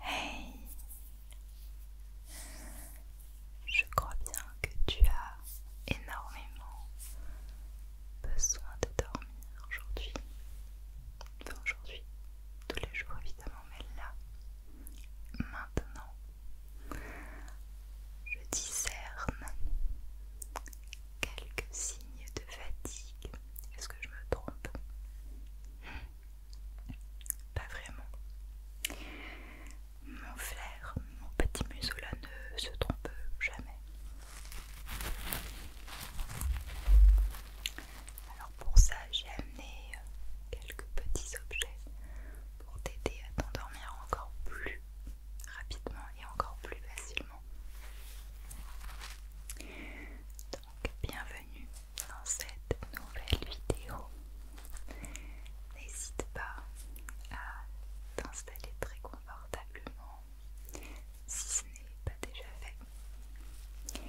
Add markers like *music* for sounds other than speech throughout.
Hey Je crois bien que tu as énormément besoin de dormir aujourd'hui. Enfin aujourd'hui, tous les jours évidemment, mais là, maintenant, je discerne quelques signes de fatigue. Est-ce que je me trompe pas vraiment. Mon flair, mon petit museau ne se trompe jamais. Alors pour ça, j'ai amené euh, quelques petits objets pour t'aider à t'endormir encore plus rapidement et encore plus facilement. Donc bienvenue dans cette nouvelle vidéo. N'hésite pas à t'installer très confortablement si ce n'est pas déjà fait.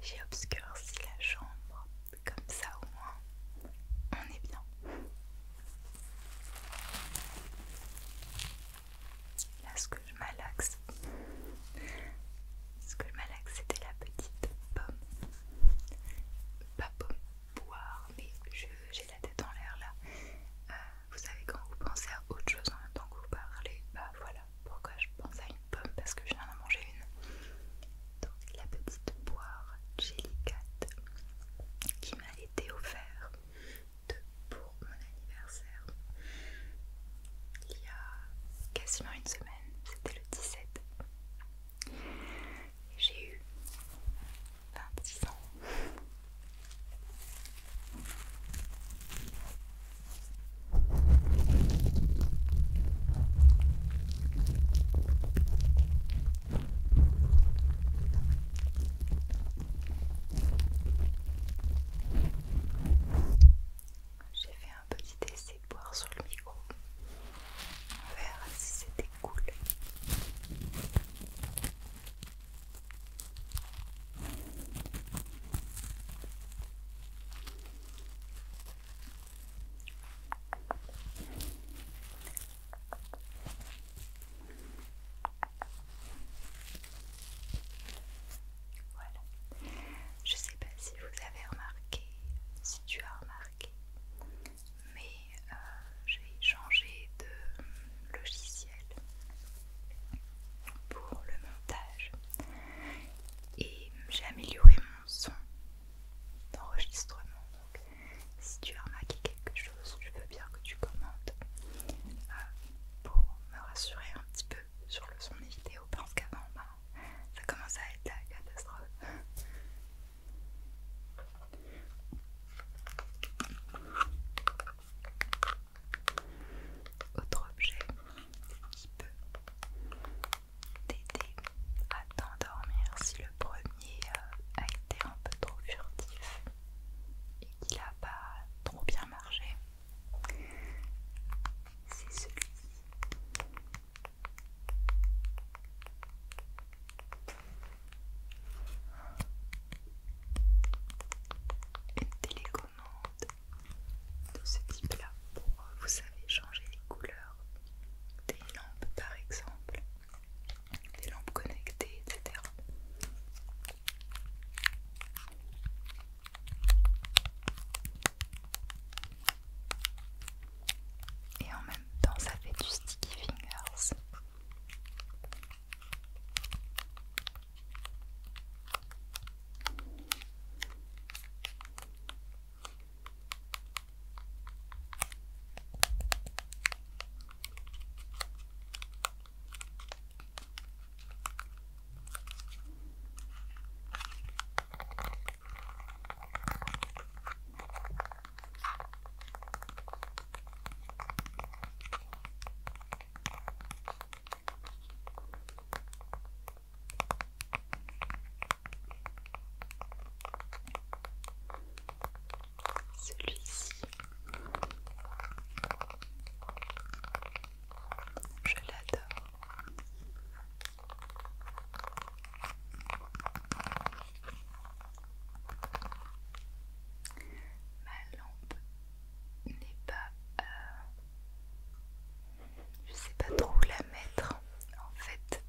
J'ai obscurci la chambre, comme ça au moins on est bien je malaxe. Ce que je malaxe, c'était la petite pomme. Pas pomme boire, mais j'ai la tête en l'air là. Euh, vous savez, quand vous pensez à autre chose en même temps que vous parlez, bah voilà pourquoi je pense à une pomme parce que je viens d'en manger une. Donc, la petite boire Jelly qui m'a été offerte pour mon anniversaire il y a quasiment une semaine c'était le 17. J'ai eu 26 ans petit essai de boire sur le micro. On si c'était cool. Voilà. Je sais pas si vous avez remarqué, si tu as remarqué, mais euh, j'ai changé de logiciel pour le montage et j'ai amélioré mon son d'enregistrement. Donc, si tu as remarqué quelque chose, je veux bien que tu commentes euh, pour me rassurer un petit peu sur le son des vidéos parce qu'avant, bah, ça commence à être la catastrophe. Autre objet qui peut t'aider à t'endormir si le premier euh, a été un peu trop furtif et qu'il n'a pas trop bien marché. C'est celui-ci. Une télécommande de ce type-là pour, euh, vous savez, changer les couleurs des lampes par exemple, des lampes connectées, etc. Et en même temps, ça fait du sticky fingers. Celui-ci, je l'adore. Ma lampe n'est pas... Euh, je sais pas trop où la mettre en fait.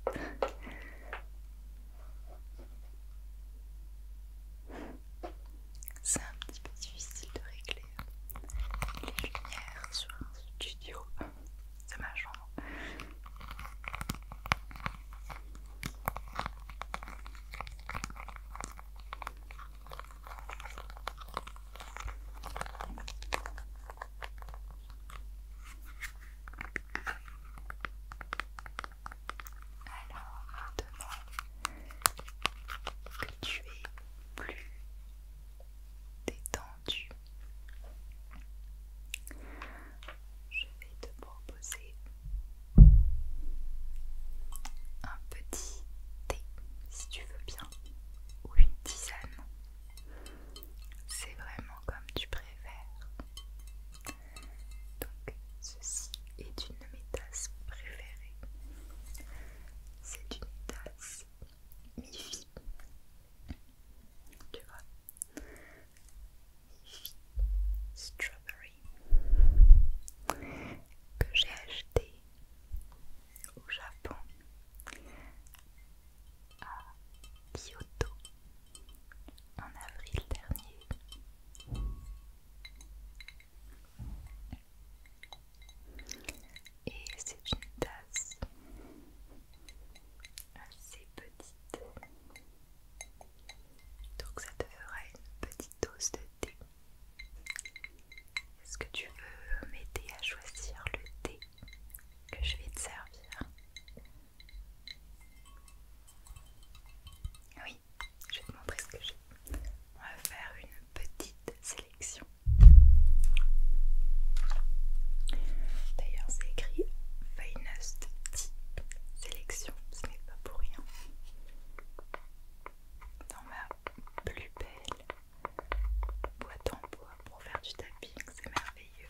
C'est un petit peu difficile de régler les lumières sur un studio de ma chambre. Alors maintenant que tu es plus détendu, je vais te proposer un petit thé, si tu veux bien, ou une tisane. C'est vraiment comme tu préfères. Donc, ceci est une de mes tasses préférées. C'est une tasse mifi. Tu vois Strawberry que j'ai acheté au Japon à Kyoto en avril dernier et c'est une tasse assez petite. Donc ça te fera une petite dose de thé. Est-ce que tu veux m'aider à choisir le thé que je vais te servir Oui, je vais te montrer ce que j'ai. On va faire une petite sélection. D'ailleurs, c'est écrit Finest Type Sélection, ce n'est pas pour rien. Dans ma plus belle boîte en bois pour faire du tapping, c'est merveilleux.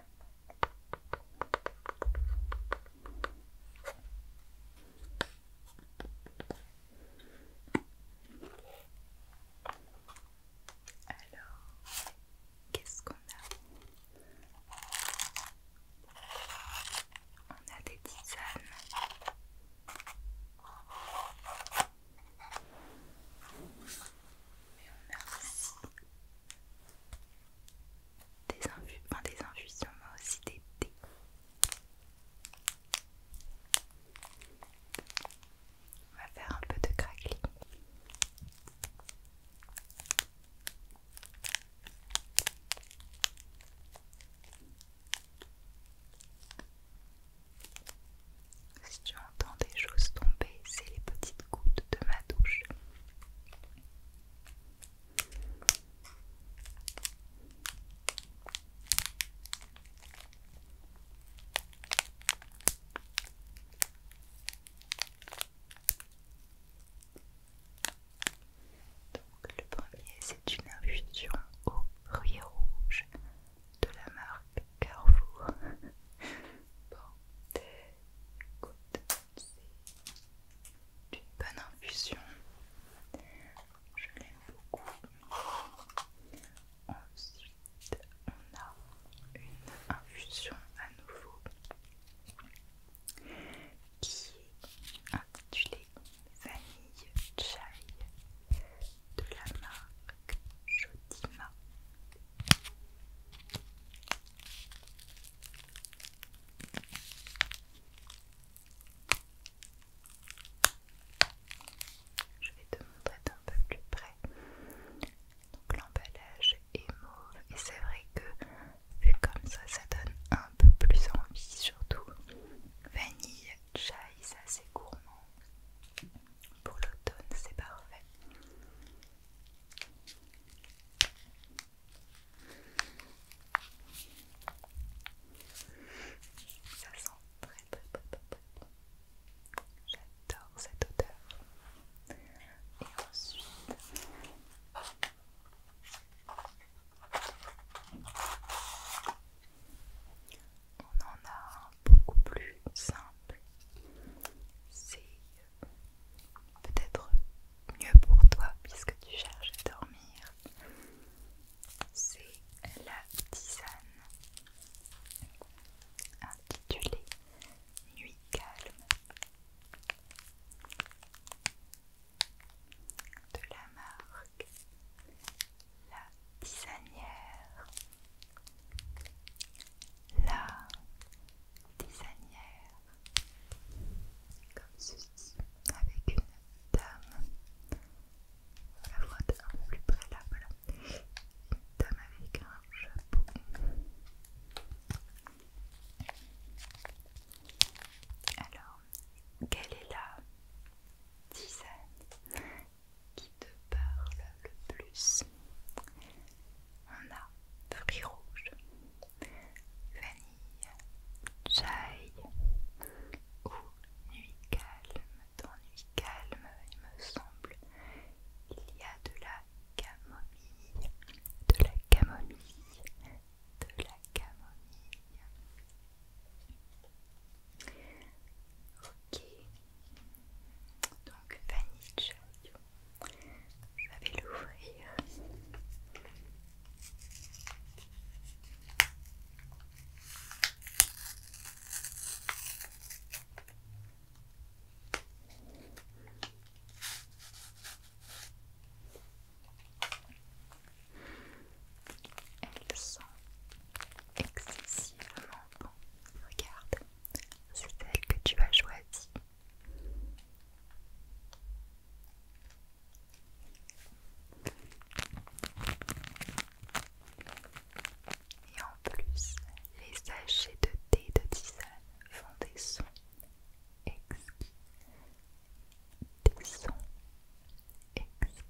Alors, qu'est-ce qu'on a On a des tisanes. Mais on a des, enfin, des infusions, mais aussi des thés. On va faire un peu de craquelin Si tu entends des choses tomber, c'est les petites gouttes de ma douche. Donc le premier c'est une infusion au riz rouge de la marque Carrefour. *laughs* bon, c'est une bonne infusion. Je l'aime beaucoup. Ensuite, on a une infusion à nouveau qui est intitulée Vanille Chai de la marque Jodima. Je vais te montrer d'un peu plus près. Donc l'emballage est mauve et c'est vrai que vu comme ça, ça donne un peu plus envie, surtout vanille, chai, ça c'est gourmand. Pour l'automne, c'est parfait. Ça sent très très J'adore cette odeur. Et ensuite... On en a un beaucoup plus simple peut-être mieux pour toi puisque tu cherches à dormir, c'est la tisane intitulée Nuit calme de la marque La Tisanière. La Tisanière comme ceci, avec une dame, la voix un peu plus près là, voilà, une dame avec un chapeau. Alors, quelle est la dizaine qui te parle le plus on a fruits rouge, vanille, chai ou nuit calme. Dans nuit calme, il me semble, il y a de la camomille, de la camomille, de la camomille. Ok, donc vanille chai. Je vais l'ouvrir. Elles sont excessivement bon. Regarde, c'est celle que tu as choisie. Et en plus, les sachets de thé de tisane font des sons exquis. Des sons exquis.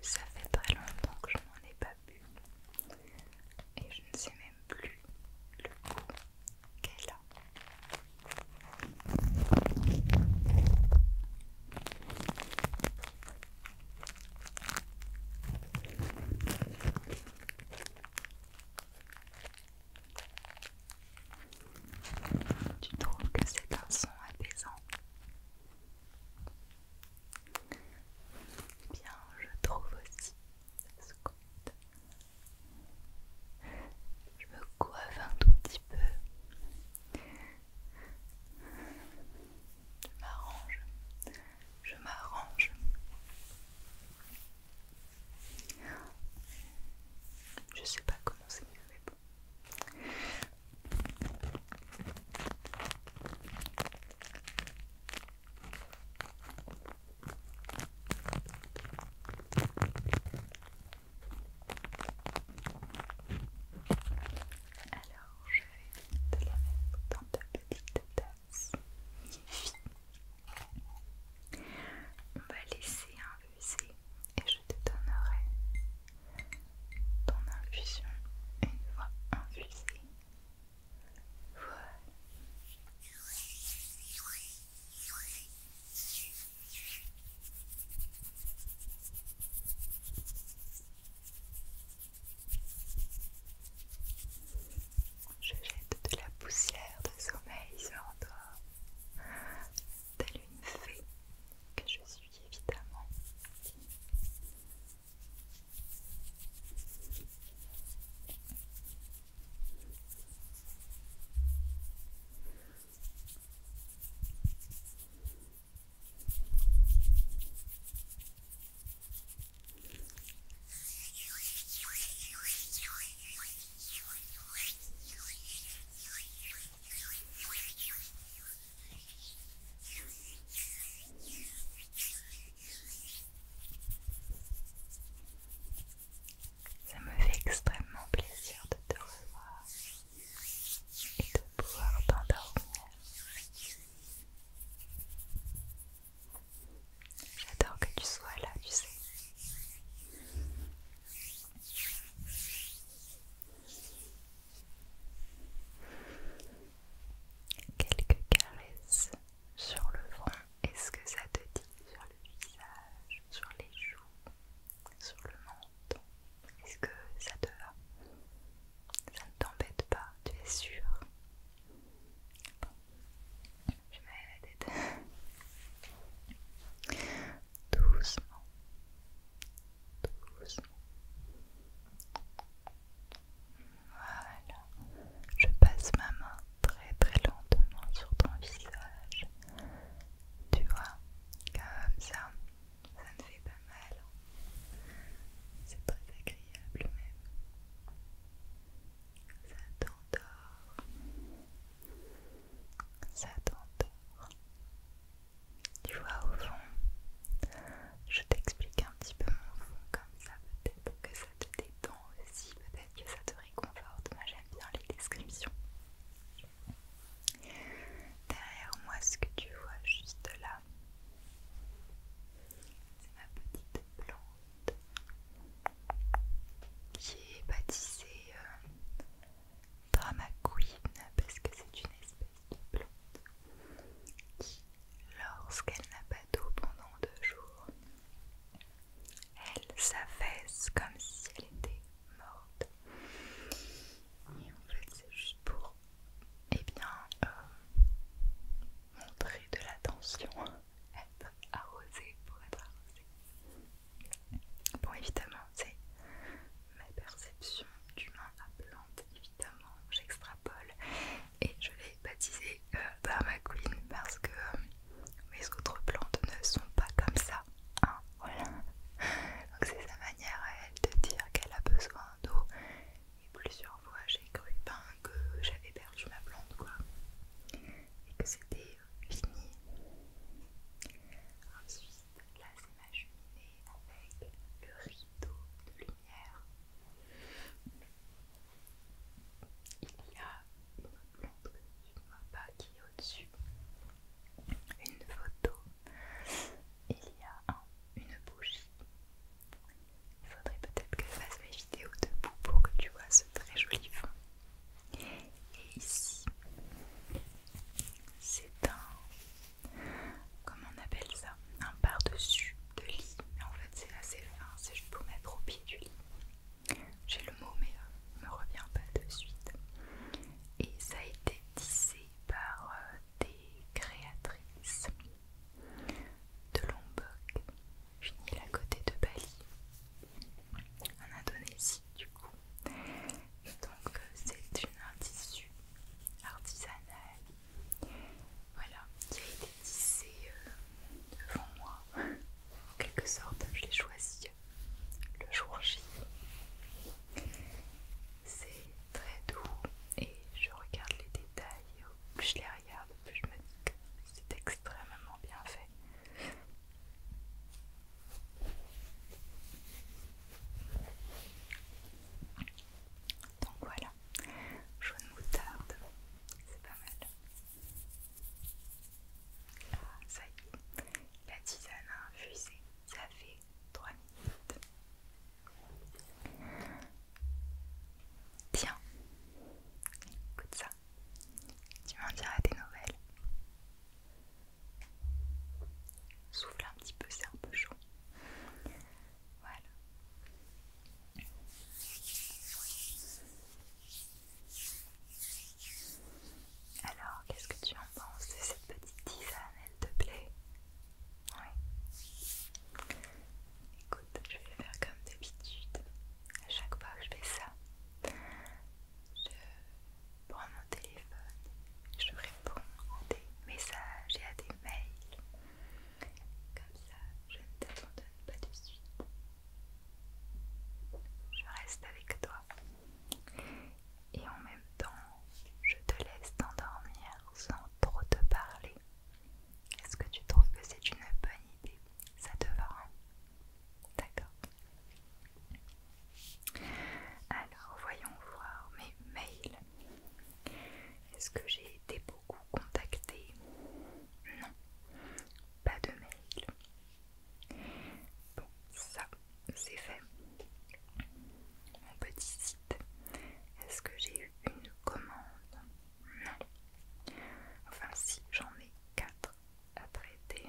Ça fait très longtemps que je n'en ai pas bu et je ne sais même plus le goût qu'elle a. Tu trouves que c'est un son apaisant eh Bien, je trouve aussi ce compte. Je me coiffe un tout petit peu je m'arrange. Je m'arrange. Je sais pas comment c'est mieux, alors je vais te la mettre dans ta petite tasse. On va laisser infuser et je te donnerai ton infusion une fois infusée. Voilà. Je jette de la poussière de sommeil sur toi, telle une fée que je suis évidemment. Ça me fait extrêmement plaisir de te revoir et de pouvoir t'endormir. J'adore que tu sois là, tu sais. Quelques caresses sur le front. Est-ce que ça te dit sur le visage, sur les joues, sur le menton Est-ce que ça te va ça ne t'embête pas, tu es sûr. Je je la tête. Doucement. Doucement. Voilà. Je passe ma main très très lentement sur ton visage. Tu vois, comme ça, ça ne fait pas mal. C'est très agréable même. Ça t'endort. Ça t'endort. Tu vois au fond, je t'explique un petit peu mon fond comme ça peut-être que ça te détend aussi, peut-être que ça te réconforte. Moi j'aime bien les descriptions. Derrière moi, ce que tu vois juste là, c'est ma petite plante qui est baptisée euh, parce que c'est une espèce de plante qui, lorsqu'elle n'a pas d'eau pendant deux jours, elle s'affaisse comme si elle était morte. Et en fait, c'est juste pour et eh bien, euh, montrer de l'attention, *laughs* être arrosé pour être arrosé. Bon, évidemment, c'est ma perception d'humain à plante, évidemment, j'extrapole et je l'ai baptisé euh, par ma colline parce que euh, mes autres plantes ne sont pas comme ça. voilà. Hein. *laughs* Donc, c'est sa manière à elle de dire qu'elle a besoin d'eau et plusieurs fois j'ai cru ben, que j'avais perdu ma plante quoi. Et que c'était euh, fini. Ensuite, là c'est ma cheminée avec le rideau de lumière. Il y a une plante que ne vois pas qui est au-dessus. Une photo. Il y a une bougie il faudrait peut-être que je fasse mes vidéos debout pour que tu vois ce très joli fond. Et ici, c'est un. Comment on appelle ça Un par-dessus de lit. En fait, c'est assez fin, c'est juste pour mettre au pied du lit. J'ai le mot, mais ne euh, me revient pas de suite. Et ça a été tissé par euh, des créatrices de Lombok, finit à côté de Bali, en Indonésie du coup. donc euh, c'est une un tissu artisanal, voilà, qui a été tissé euh, devant moi, en quelque sorte, je l'ai choisi euh, le jour J. C'est très doux et je regarde les détails plus je les regarde, plus je me dis que c'est extrêmement bien fait. Donc voilà, jaune moutarde, c'est pas mal. Ah, ça y est, la tisane a infusé, ça fait 3 minutes. Tiens, écoute ça. Tu m'en diras des nouvelles. Souffle un petit peu, c'est un peu chaud. Voilà. Alors, qu'est-ce que tu en penses de cette petite tisane Elle te plaît oui, Écoute, je vais faire comme d'habitude. À chaque fois que je fais ça, je prends mon téléphone, je réponds à des messages et à des mails. Comme ça, je ne t'abandonne pas de suite. Je reste avec toi. Et en même temps, je te laisse t'endormir sans trop te parler. Est-ce que tu trouves que c'est une bonne idée Ça te va hein? D'accord. Alors, voyons voir mes mails. Est-ce que j'ai été beaucoup contactée Non, pas de mail. Bon, ça, c'est fait. Mon petit site. Est-ce que j'ai eu une commande Enfin, si j'en ai quatre à traiter.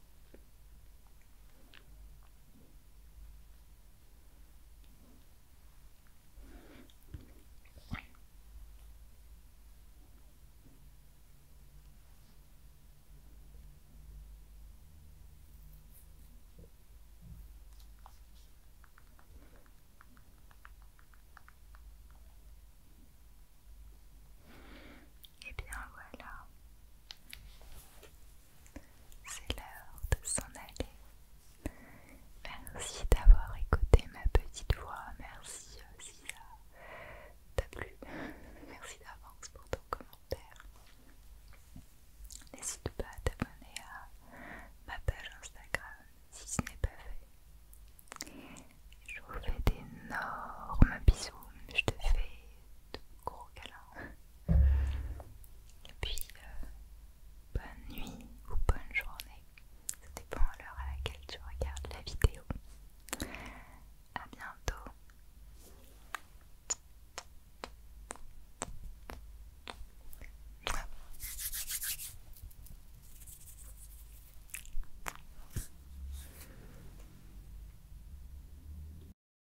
Et eh bien voilà c'est l'heure de s'en aller. Merci d'avoir écouté ma petite voix. Merci aussi euh, à t'a plu. Merci d'avance pour ton commentaire. N'hésite pas à t'abonner à ma page Instagram si ce n'est pas fait. Je vous fais d'énormes bisous. Je te fais de gros câlins. Et puis, euh, bonne nuit ou bonne journée. Ça dépend à l'heure à laquelle tu regardes la vidéo. À bientôt.